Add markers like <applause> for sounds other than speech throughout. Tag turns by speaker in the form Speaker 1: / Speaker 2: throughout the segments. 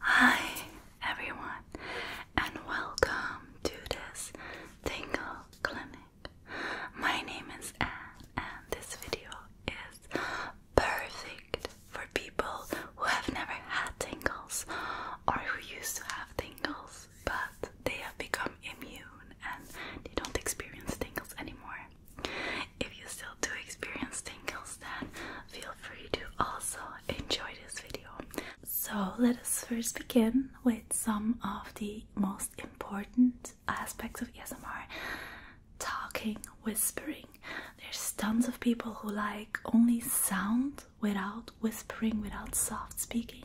Speaker 1: Hi everyone and welcome to this tingle clinic. My name is Anne and this video is perfect for people who have never had tingles or who used to have tingles but they have become immune and they don't experience tingles anymore. If you still do experience tingles, then feel free to also enjoy this video. So, let us first begin with some of the most important aspects of ASMR talking, whispering. There's tons of people who like only sound without whispering, without soft speaking,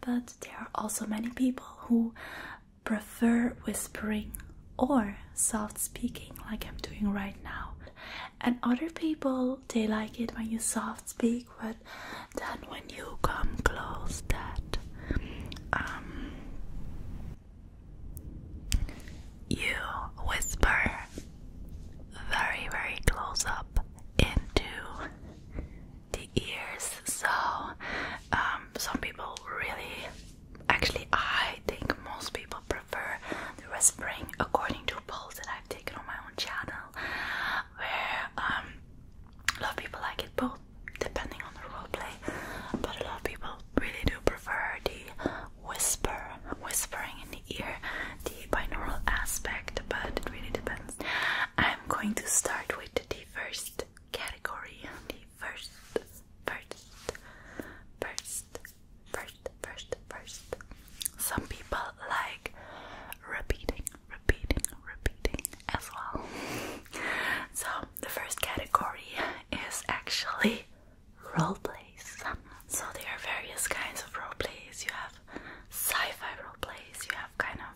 Speaker 1: but there are also many people who prefer whispering or soft speaking like I'm doing right now. And other people they like it when you soft speak, but then when you come close, that um, you whisper very, very close up into the ears. So um, some people really actually, I think most people prefer the whispering according to polls that I've taken on my own channel, where um, a lot of people like it both depending on the roleplay, but a lot of people really do prefer the whisper, whispering in the ear, the binaural aspect, but it really depends. I'm going to start with the first category, and the first, first, first first, first, first. Some people like repeating, repeating, repeating as well. <laughs> so, the first category is actually role plays. So, there are various kinds of role plays. You have sci fi role plays, you have kind of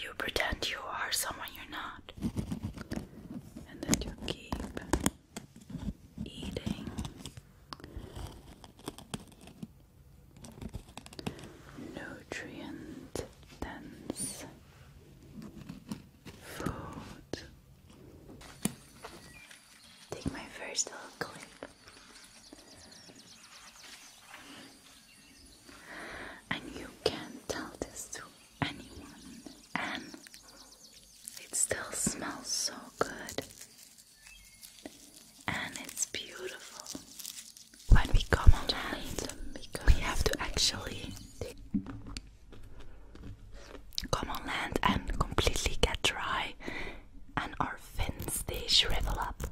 Speaker 1: you pretend you are someone you're not, and then you keep eating. Nutrient dense food. Take my first little clip. And you can tell this to and it still smells so good. And it's beautiful. When we come on land, we have to actually come on land and completely get dry, and our fins they shrivel up.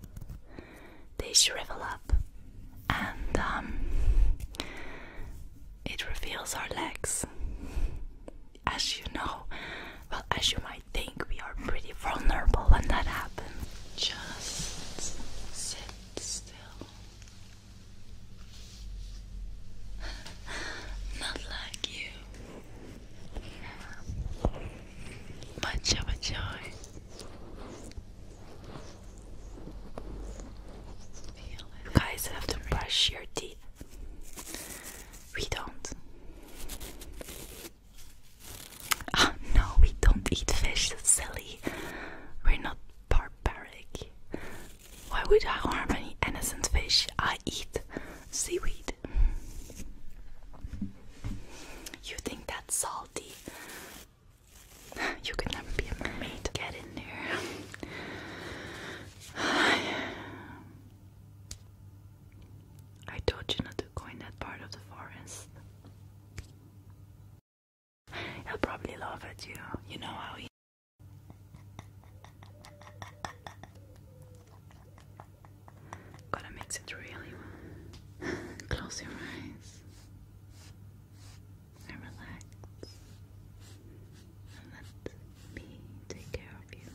Speaker 1: They shrivel up, and um, it reveals our legs as you know, well, as you might think, we are pretty vulnerable when that happens. Just sit still. <laughs> Not like you. Much of guys have to brush your teeth. We don't. Ah, no, we don't eat fish, silly. We're not barbaric. Why would I harm any innocent fish? I eat seaweed. You think that's salty? <sighs> You could never be a mermaid. Get in there. <sighs> I told you not to go in that part of the forest. He'll probably laugh at you. You know how he. Gotta mix it really well. <laughs> Close your eyes and relax me take care of you.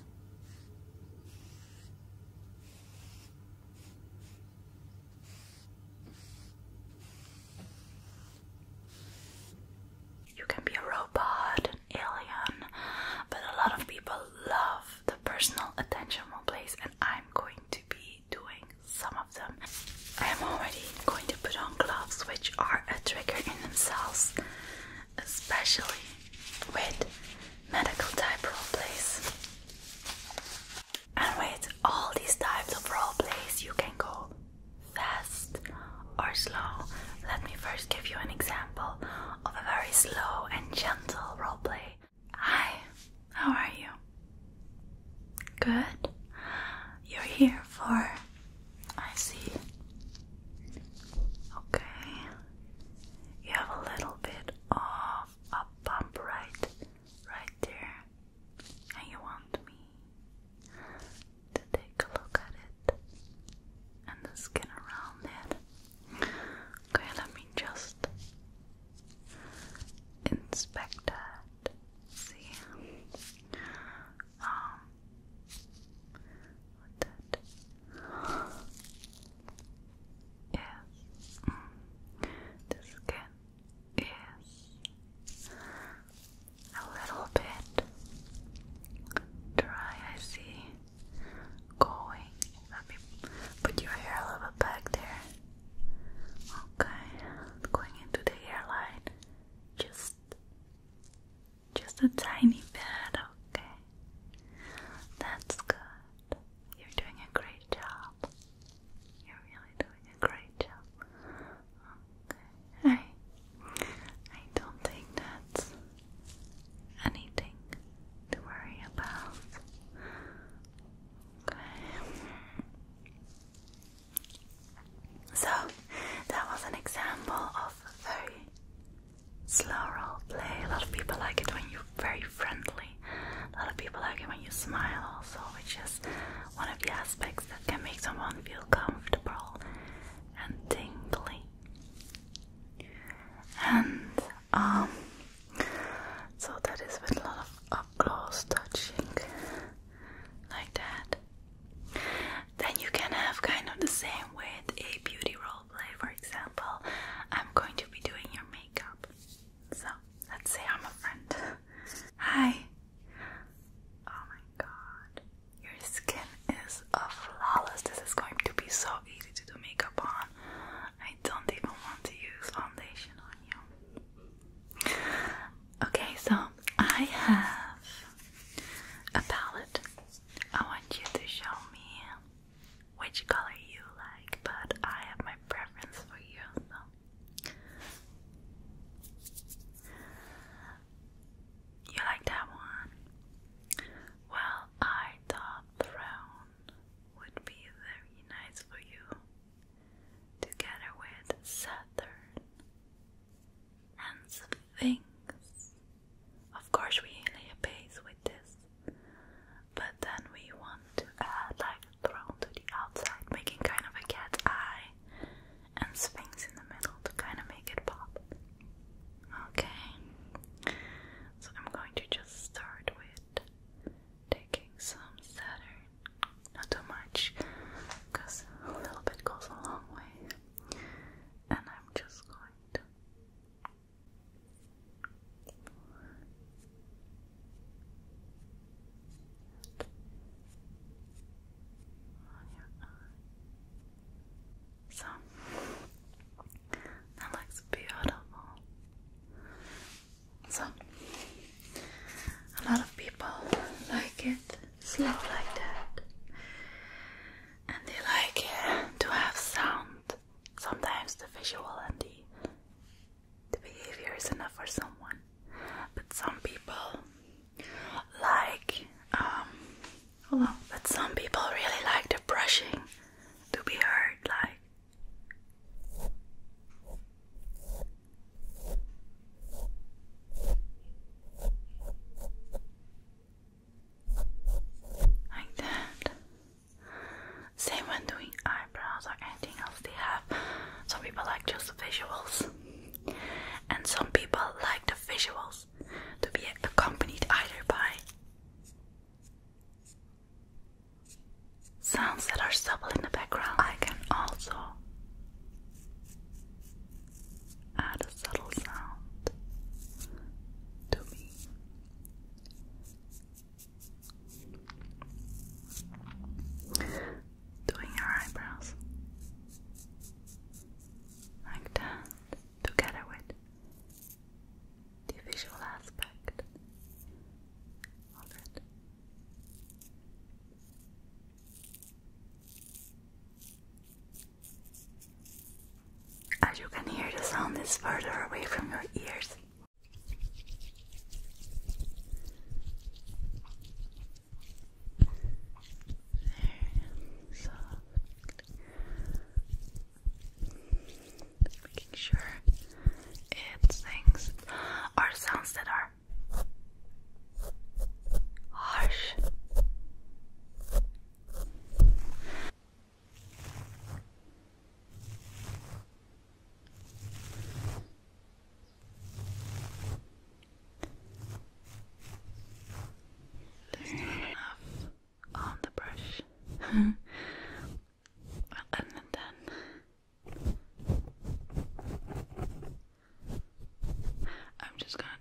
Speaker 1: You can be a robot, an alien, but a lot of people love the personal attention one place, and I'm going to be doing some of them. I am already going to put on gloves, which are a trigger in themselves especially with medical type roleplays, And with all these types of role you can go fast or slow. Let me first give you an example of a very slow and gentle roleplay. Hi, how are you? Good. You're here for I see. Okay. You have a little bit of a bump right right there. And you want me to take a look at it and the skin around it. Okay, let me just inspect that. See, um, what that? <gasps> Yes. Mm. The skin is a little bit dry, I see. Going. put your hair a little back there. Okay, going into the hairline. Just just a tiny bit, okay. That's good. You're doing a great job. You're really doing a great job. Okay. I I don't think that's anything to worry about. Okay. So that was an example of very slow role play. A lot of people like it when you're very friendly. A lot of people like it when you smile also, which is one of the aspects that can make someone feel comfortable and tingling. And um so that is with a lot of up close touching like that. Then you can have kind of the same with a beauty role play, for example. I'm going to be doing your makeup. So let's say I'm a friend. Hi. Oh my god. Your skin is flawless. This is going to be so easy to do makeup on. I don't even want to use foundation on you. Okay, so I have a palette I want you to show me which color you like, but I have my preference for you. So. You like that one? Well, I thought brown would be very nice for you, together with Saturn and Sphinx. Of course, we lay a base with this, but then we want to add like a throne to the outside, making kind of a cat eye and Sphinx in the middle to kind of make it pop. Okay, so I'm going to just start with taking some Saturn, not too much, because a little bit goes a long way, and I'm just going so that looks beautiful. So a lot of people like it slow like that and they like eh, to have sound. Sometimes the visual and the, the behavior is enough for someone, but some people like, um, but some people really like the brushing to be heard, like. Like that. Same when doing eyebrows or anything else they have. Some people like just the visuals. And some people like the visuals to be accompanied either by sounds that are subtle in the background. I can also add a subtle sound to me. Doing your eyebrows like that together with the visual aspect of it. As you can hear, the sound is further away from your ears. making sure it sings or sounds that are harsh there's enough on the brush. and <laughs> then I'm just gonna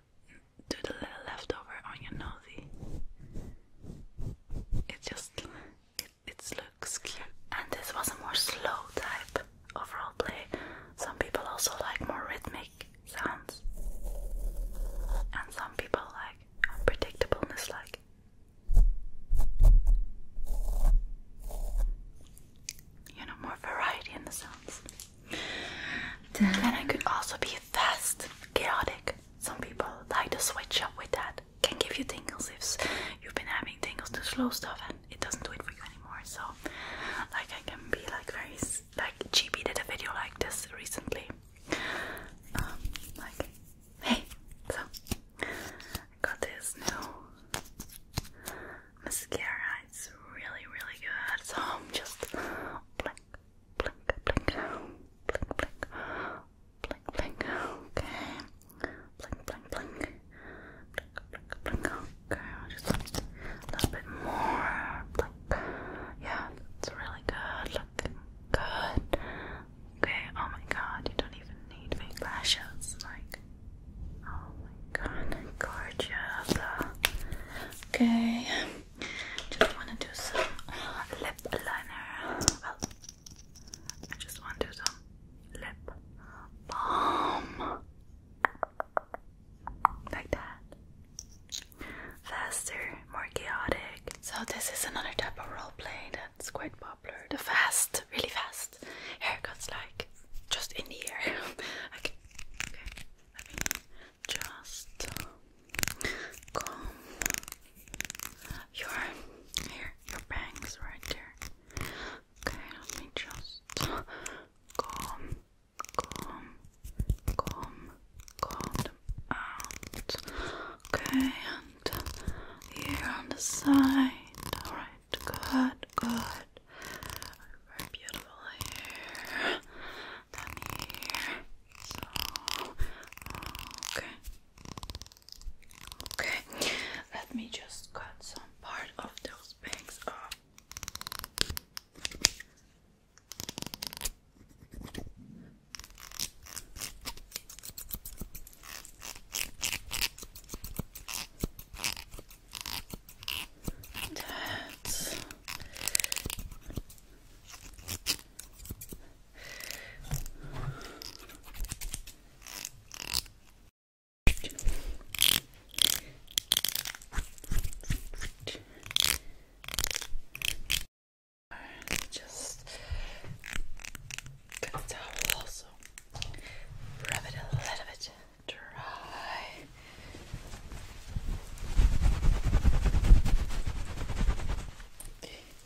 Speaker 1: do the little leftover onion nosy. It just it, it looks cute. And this was a more slow type overall play. Some people also like more rhythmic sounds, and some people like unpredictableness, like. You know, more variety in the sounds. And I could also be fast, chaotic. Some people like to switch up with that. Can give you tingles if you've been having tingles to slow stuff and it doesn't do it for you anymore. So, like, I can be like very like GB did a video like this recently. Um, like, hey, so I got this new mascara. It's really, really good. So I'm just blink, blink, blink, blink, blink, blink, okay, blink, blink, blink, blink, blink, blink, okay, just a little bit more, blink, yeah, that's really good, looking good, okay, oh my god, you don't even need fake lashes, like, oh my god, gorgeous, okay, just wanna do some lip liner. Well, I just want to do some lip balm. Like that. Faster, more chaotic. So this is another type of role play that's quite popular. The fast, really fast haircuts like just in the air. <laughs> okay. just Come, your hair, your bangs right there. Okay, let me just comb, comb, comb, comb out. Okay, and here on the side. Alright, good, good. Very beautiful hair. Down here okay. Okay, let me just cut some part of those bangs off. That's just get a towel also. Rub it a little bit dry.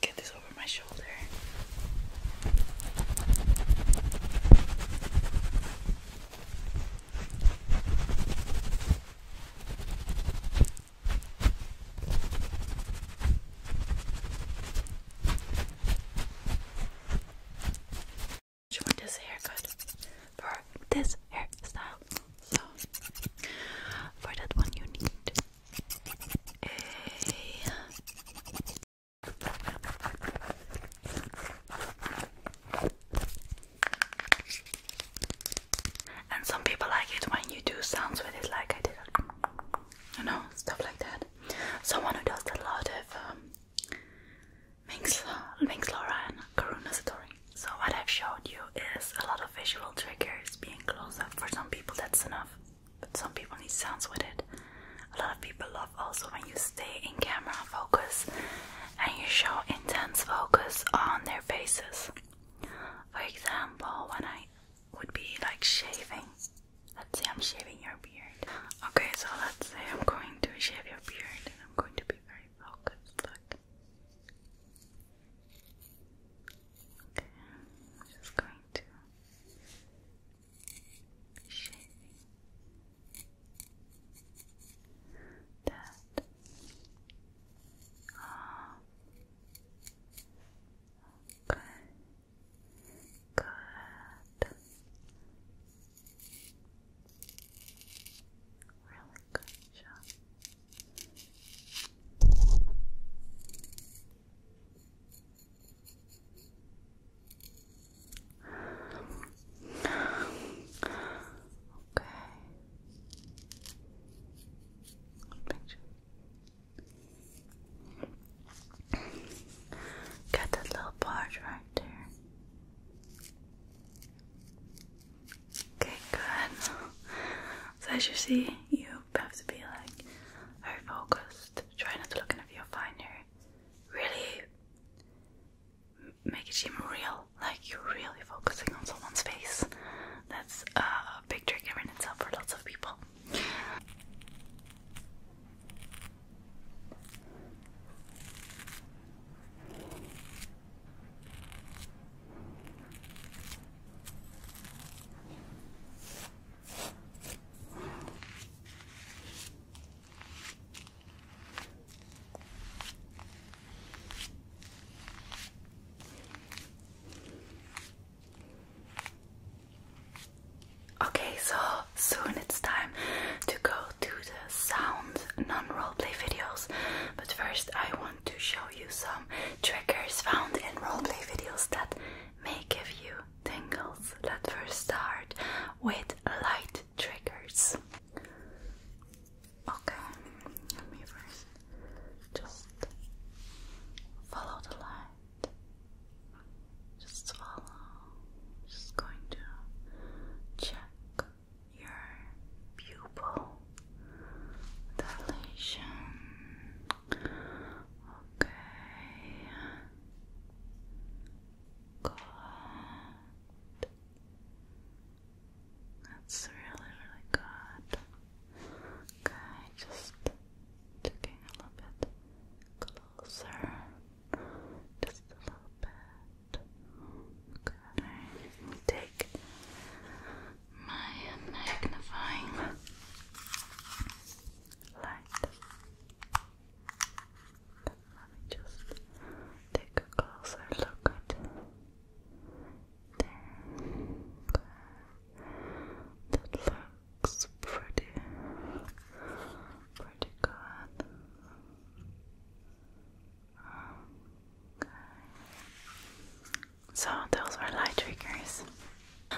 Speaker 1: Get this over my shoulder. Join this haircut for this hairstyle for that one, you need a and some people like it when you do sounds with it, like I did, you know, stuff like that. Someone who does a lot of um, Minx, Minx Laura and Karuna Satori. So, what I've showed you is a lot of visual triggers being close up. For some people, that's enough, but some people need sounds with it. A lot of people love also when you stay in camera focus and you show intense focus on their faces. For example, when I would be like shaving, let's say I'm shaving your beard. Okay, so let's say I'm going to shave your beard and I'm going to be very focused. Okay, i just going to be that off. Okay, good. Really gotcha. Okay. Picture. Got that little part right there. Okay, good. So as you see, you have to be like very focused. Try not to look in a finder. Really make it seem real, like you're really focusing on someone's face. That's a big trick in itself for lots of people. Okay, so soon it's time to go to the sound non roleplay videos, but first I want to show you some triggers found in roleplay videos that may give you tingles. that first start with light triggers. Okay, let me first just follow the light. Just follow. Just going to check your pupil dilation. Okay. Good. That's really, really good. Okay, just taking a little bit closer. Just a little bit. Okay. Take my magnifying light. Let me just take a closer look at there. That looks pretty, pretty good. Okay. So those are light triggers.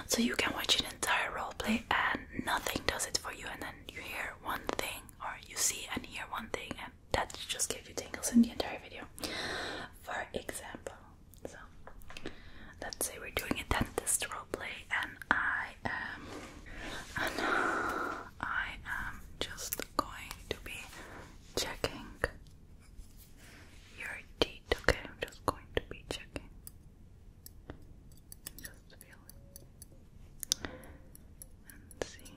Speaker 1: So you can watch an entire roleplay and nothing does it for you and then you hear one thing or you see and hear one thing and that just gives you tingles in the entire video. For example, so let's say we're doing a dentist roleplay and I am and I am just going to be checking your teeth. Okay, I'm just going to be checking. Just feeling and see.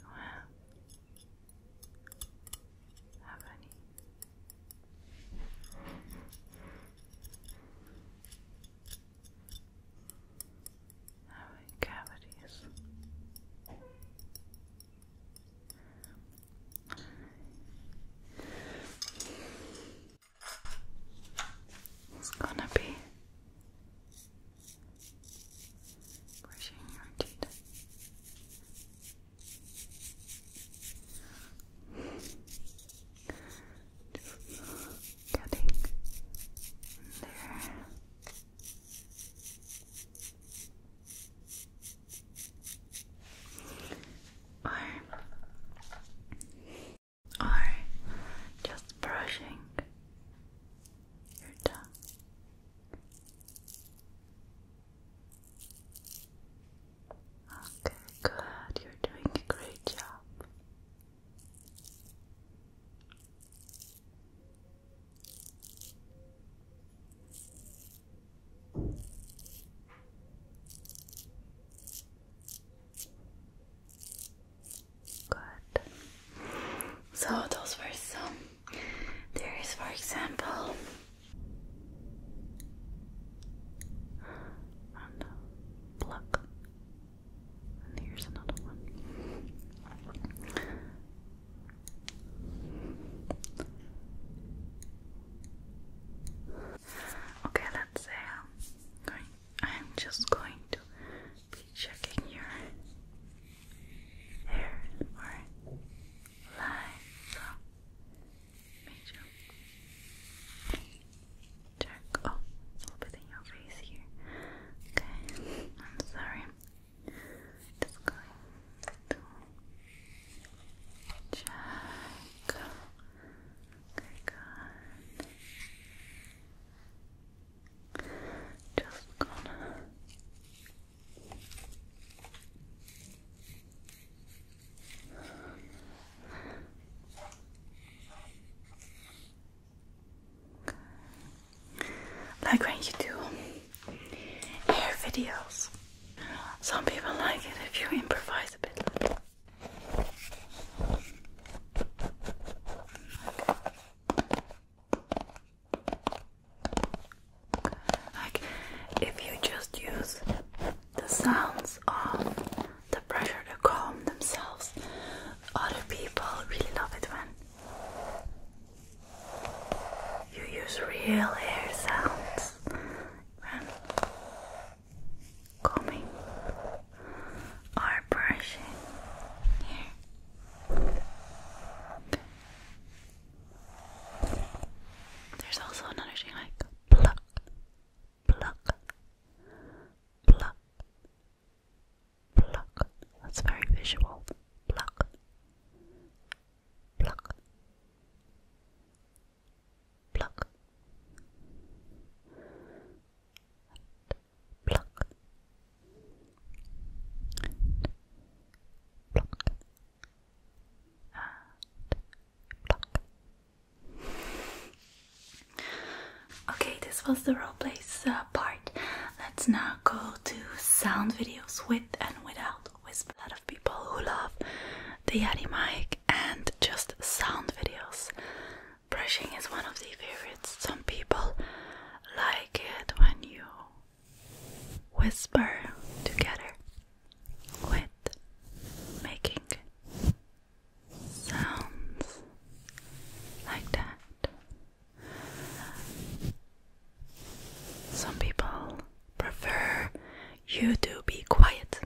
Speaker 1: You have have any? Having cavities. It's gonna be brushing your teeth. getting there or or just brushing your tongue. Okay, good. You're doing a great job. Good. So those were some. There is, for example. And pluck. Uh, and here's another one. Okay, let's say I'm just going to be checking your hair or line make sure check oh a little bit in your face here. Okay, I'm sorry. Just going to check. Okay, Just gonna. Like when you do hair videos. Some people like it if you improvise a bit. Like if you just use the sounds of the pressure to calm themselves, other people really love it when you use real hair sounds combing or brushing There's also another thing like pluck, pluck, pluck, pluck. That's very visual. Pluck, pluck, pluck, pluck, pluck, pluck. Okay, this was the role plays uh, part. Let's now go to sound videos with and without with a lot of people who love the Yeti mic and just sound videos. Brushing is one of the favorites. Some people like it when you whisper together with making sounds like that. Some people prefer you to be quiet.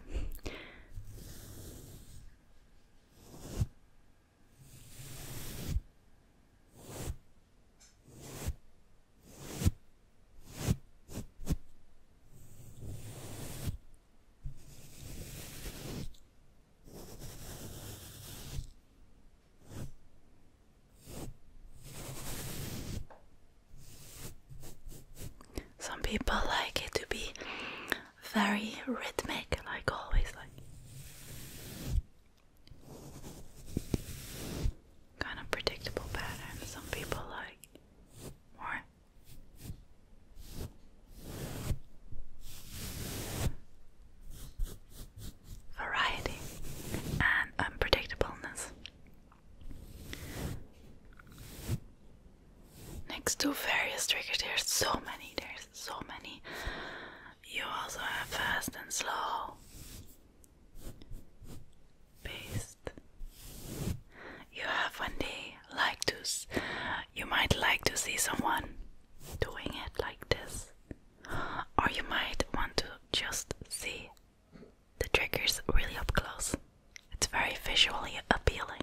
Speaker 1: Some people like it to be very rhythmic, like always, like kind of predictable pattern. Some people like more. Variety and unpredictableness. Next to various triggers, there's so many, there's so many. You also have fast and slow, paced. You have one day like to, you might like to see someone doing it like this, or you might want to just see the trigger's really up close. It's very visually appealing.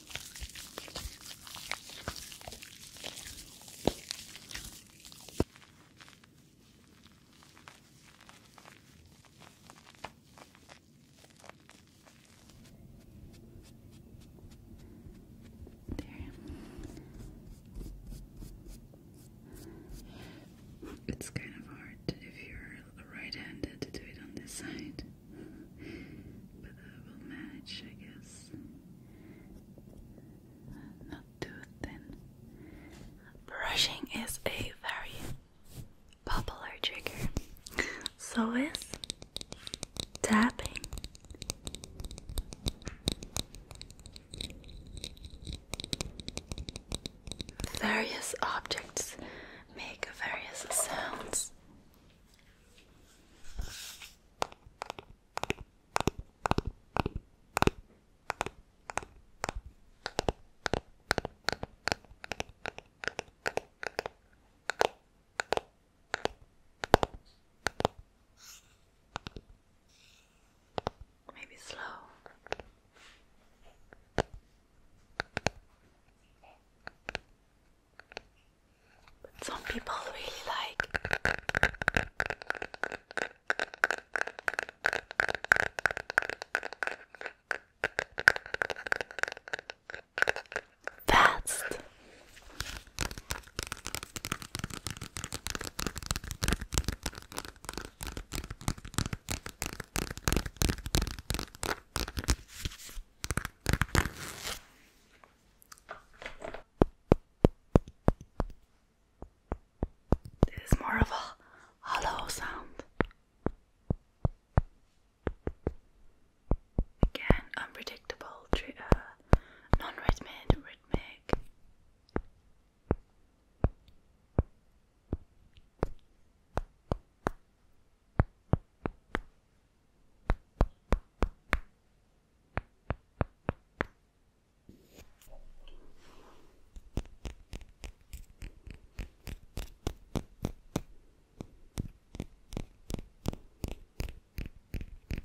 Speaker 1: There. It's kind of hard if you're right-handed to do it on this side but I will manage, I guess. Not too thin. Brushing is a very popular trigger. So is tapping. Various objects make various sounds. Maybe slow some people really like fast. This is more of a hollow sound. Again, unpredictable, uh, non rhythmic, rhythmic.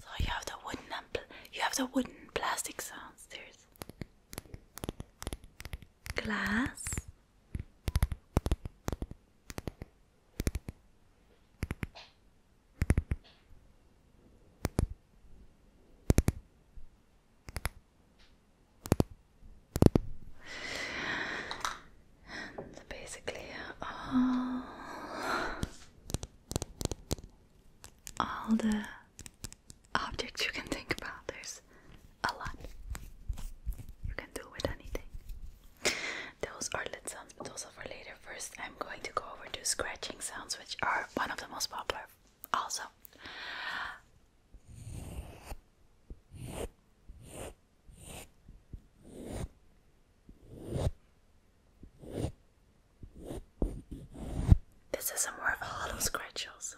Speaker 1: So you have the wooden you have the wooden plastic sounds. There's glass and basically all all the objects you can think about. There's a lot you can do with anything. Those are lid sounds, but those are for later. First, I'm going to go over to scratching sounds, which are one of the most popular. Also, this is more of a hollow scratch, also.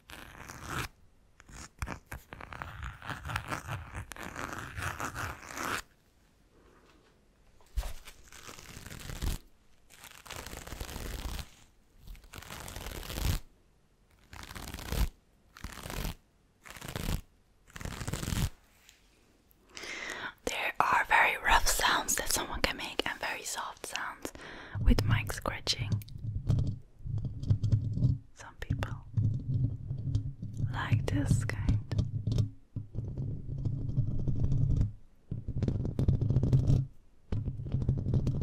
Speaker 1: There are very rough sounds that someone can make and very soft sounds with mic scratching. Some people like this kind.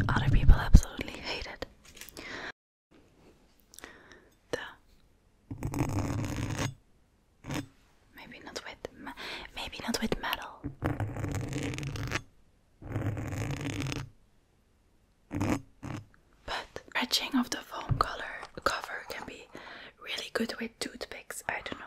Speaker 1: Other people absolutely hate it. The maybe not with maybe not with metal. But scratching of the foam color cover can be really good with toothpicks. I don't know.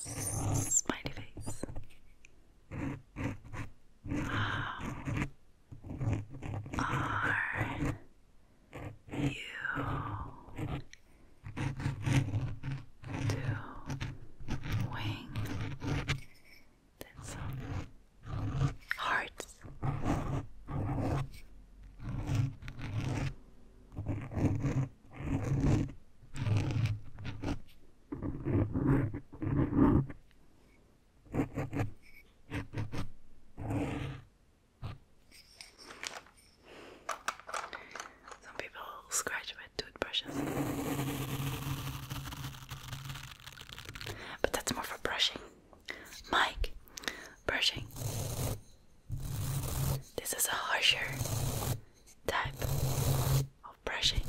Speaker 1: Smiley face. How are you That's hearts. Hearts. Some people scratch with toothbrushes. But that's more for brushing. Mike, brushing. This is a harsher type of brushing.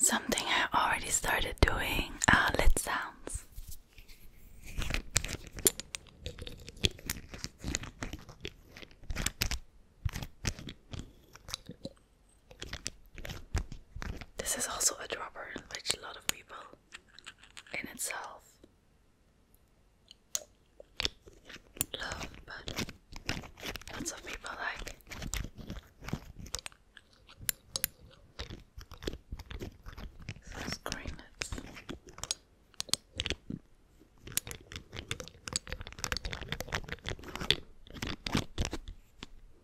Speaker 1: Something I already started doing are ah, lid sounds. This is also a dropper, which a lot of people in itself love, but lots of people like. Those greenets.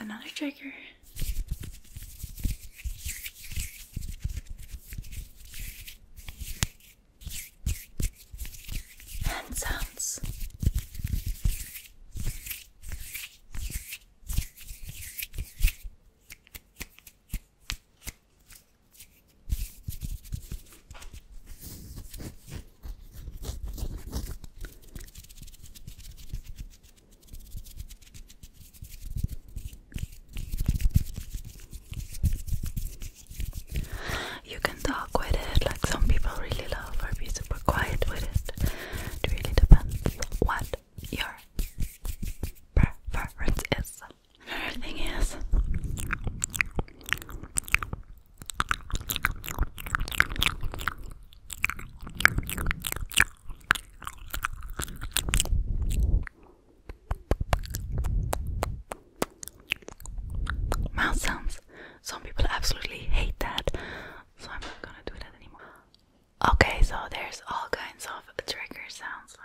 Speaker 1: Another trigger. And sounds. You can talk with it, like some people really love, or be super quiet with it. It really depends what your preference is. Another thing is, mouth sounds. Some people absolutely hate that, so I'm not gonna do that anymore. Okay, so there's all kinds of trigger sounds like.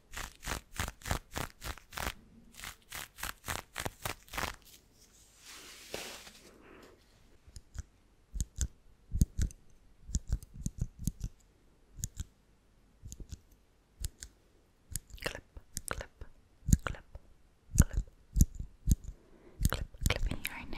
Speaker 1: Clip, clip, clip, clip, clip, clipping right now.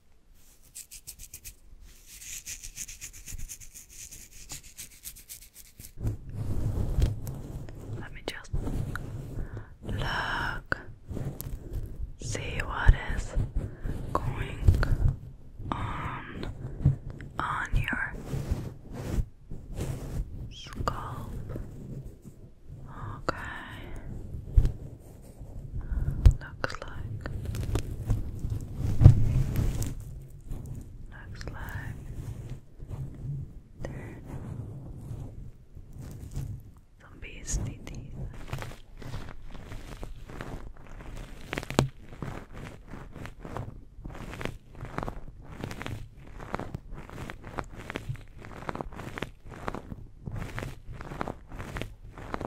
Speaker 1: Let me just look, see what is going on on your scalp. Okay. Looks like. Looks like. Some beastly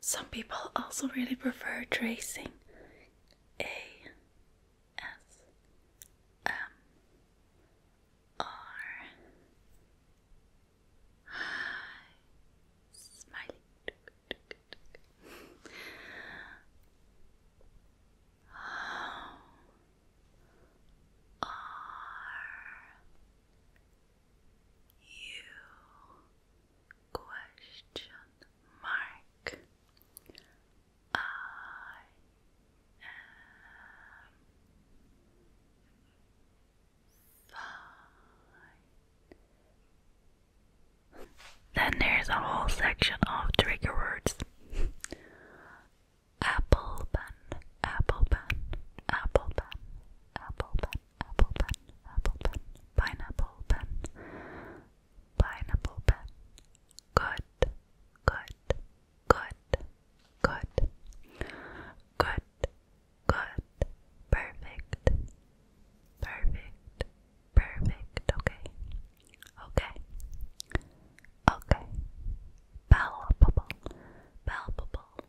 Speaker 1: Some people also really prefer tracing A S M R. Smiley. R you question mark I am fine. Then there's a whole section of trigger words. Apple pen, apple pen, apple pen, apple pen, apple pen, apple pen, pineapple pen, pineapple pen. Good, good, good, good, good, good, perfect, perfect, perfect. Okay, okay, okay. Palpable, palpable,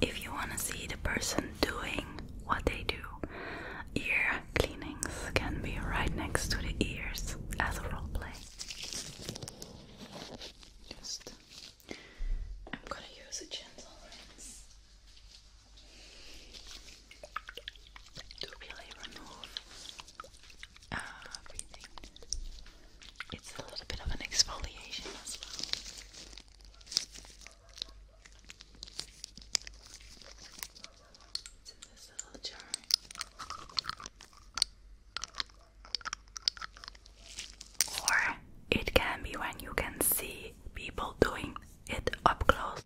Speaker 1: if you want to see the person doing what they do. Ear cleanings can be right next to the ears as a role play. Just, I'm gonna use a gentle rinse to really remove uh, everything. It's a little bit of an exfoliation as well. Or it can be when you can see people doing it up close.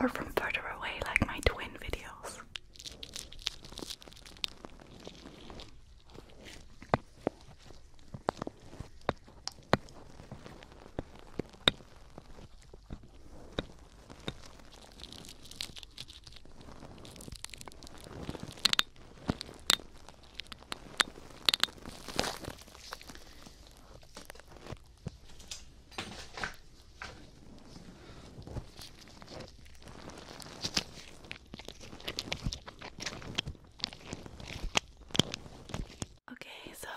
Speaker 1: Or from further away, like my twin videos. Okay, so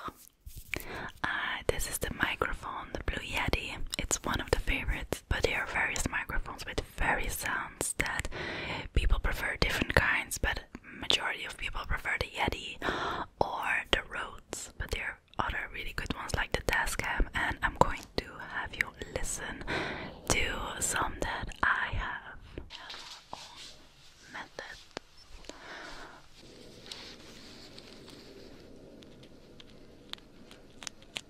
Speaker 1: uh, this is the microphone, the Blue Yeti. It's one of the favorites, but there are various microphones with very sound that people prefer different kinds, but majority of people prefer the Yeti or the Rhodes. But there are other really good ones like the Tascam, and I'm going to have you listen to some that I have.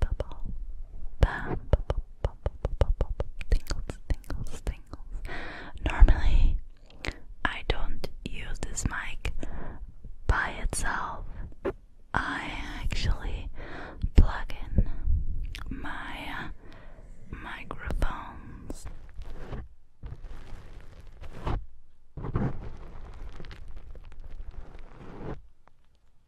Speaker 1: bubble, bam, bubble, bubble, bubble, bubble, tingles, tingles, tingles. Normally, I don't use this mic by itself. I actually plug in my uh, microphones.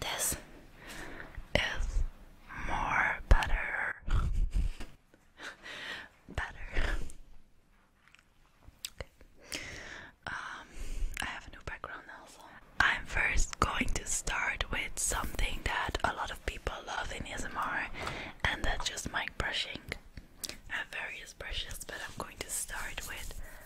Speaker 1: This is more better. <laughs> better. Okay. Um, I have a new background now, so I'm first going to start with something that a lot of people love in ASMR, and that's just mic brushing. I have various brushes, but I'm going to start with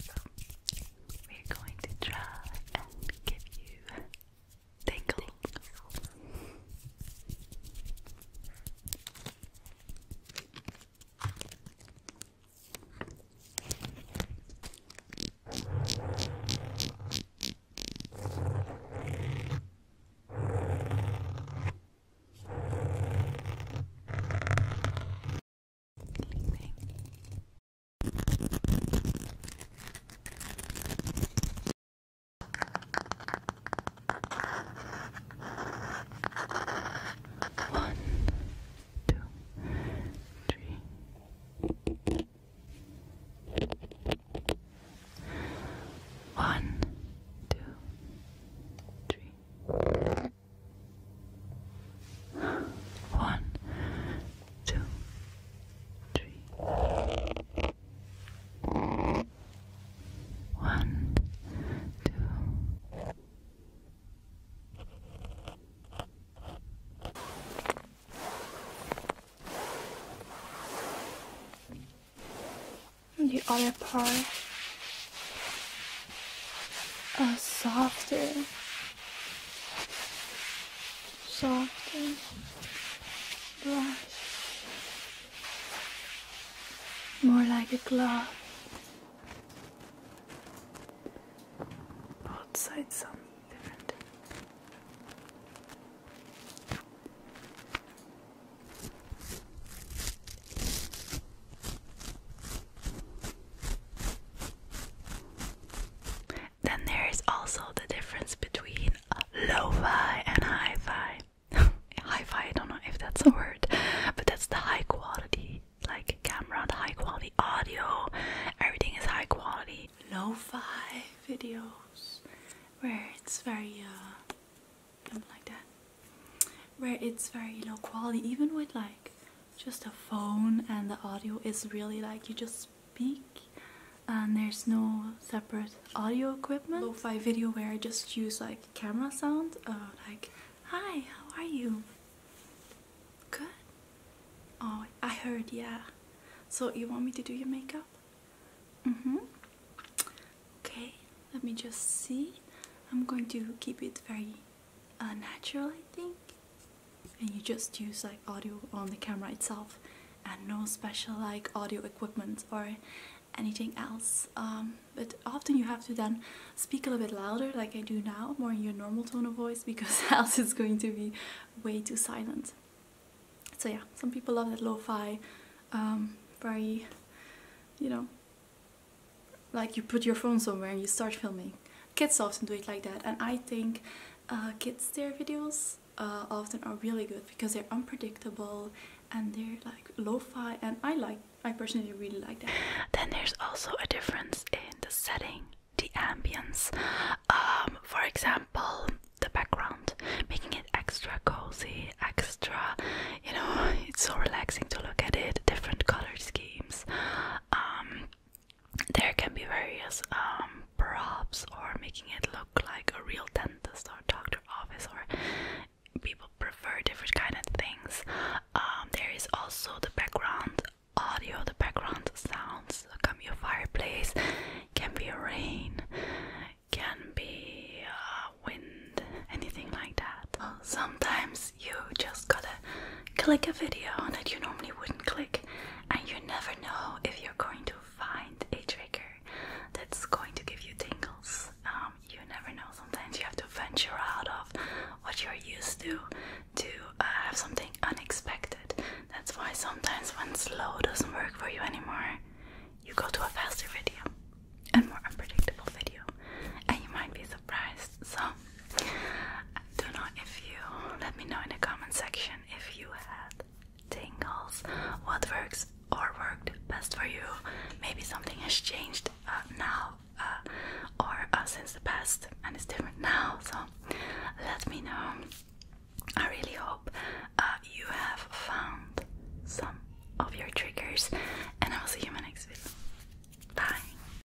Speaker 1: So, we're going to try and give you tingles. Sleeping. One, two, three. One, two, three. One, two, three. One, two. the other part a softer, softer brush, more like a glove. Both sides something different. Then there is also the difference between lo-fi and high fi <laughs>
Speaker 2: hi-fi, I don't know if that's a word, but
Speaker 1: that's the high quality, like camera, the high quality audio, everything is high quality. Lo-fi videos, where it's very, uh, something like that, where it's very low quality, even with like just a phone and the audio is really like you just speak and there's no separate audio equipment. Lo-fi video where I just use like camera sound, uh, like, hi, how are you? Good? Oh, I heard, yeah. So you want me to do your makeup? Mm-hmm. Okay, let me just see. I'm going to keep it very uh, natural, I think. And you just use like audio on the camera itself and no special like audio equipment or anything else. Um, but often you have to then speak a little bit louder, like I do now, more in your normal tone of voice, <laughs> because else it's going to be way too silent. So yeah, some people love that lo-fi, um, very, you know, like you put your phone somewhere and you start filming. Kids often do it like that and I think uh, kids their videos uh, often are really good because they're unpredictable and they're like lo-fi and I like I personally really like that. Then there's also a difference in the setting, the ambience. Um, for example, the background, making it extra cozy, extra, you know, <laughs> it's so relaxing to look at it, different color schemes. Um, there can be various um, props or making it look like a real dentist or doctor office or people prefer different kind of things um, there is also the background audio the background sounds can be a fireplace can be a rain can be uh, wind anything like that oh, sometimes you just gotta click a video that you normally wouldn't click, and you never know if you're going to find a trigger that's going to give you tingles. Um, you never know. Sometimes you have to venture out of what you're used to to uh, have something unexpected. That's why sometimes when slow doesn't work for you anymore, you go to a faster video, a more unpredictable video, and you might be so, do know if you let me know in the comment section if you had tingles, what works or worked best for you. Maybe something has changed uh, now uh, or uh, since the past and it's different now. So, let me know. I really hope you have found some of your triggers, and I will see you in my next video. Bye.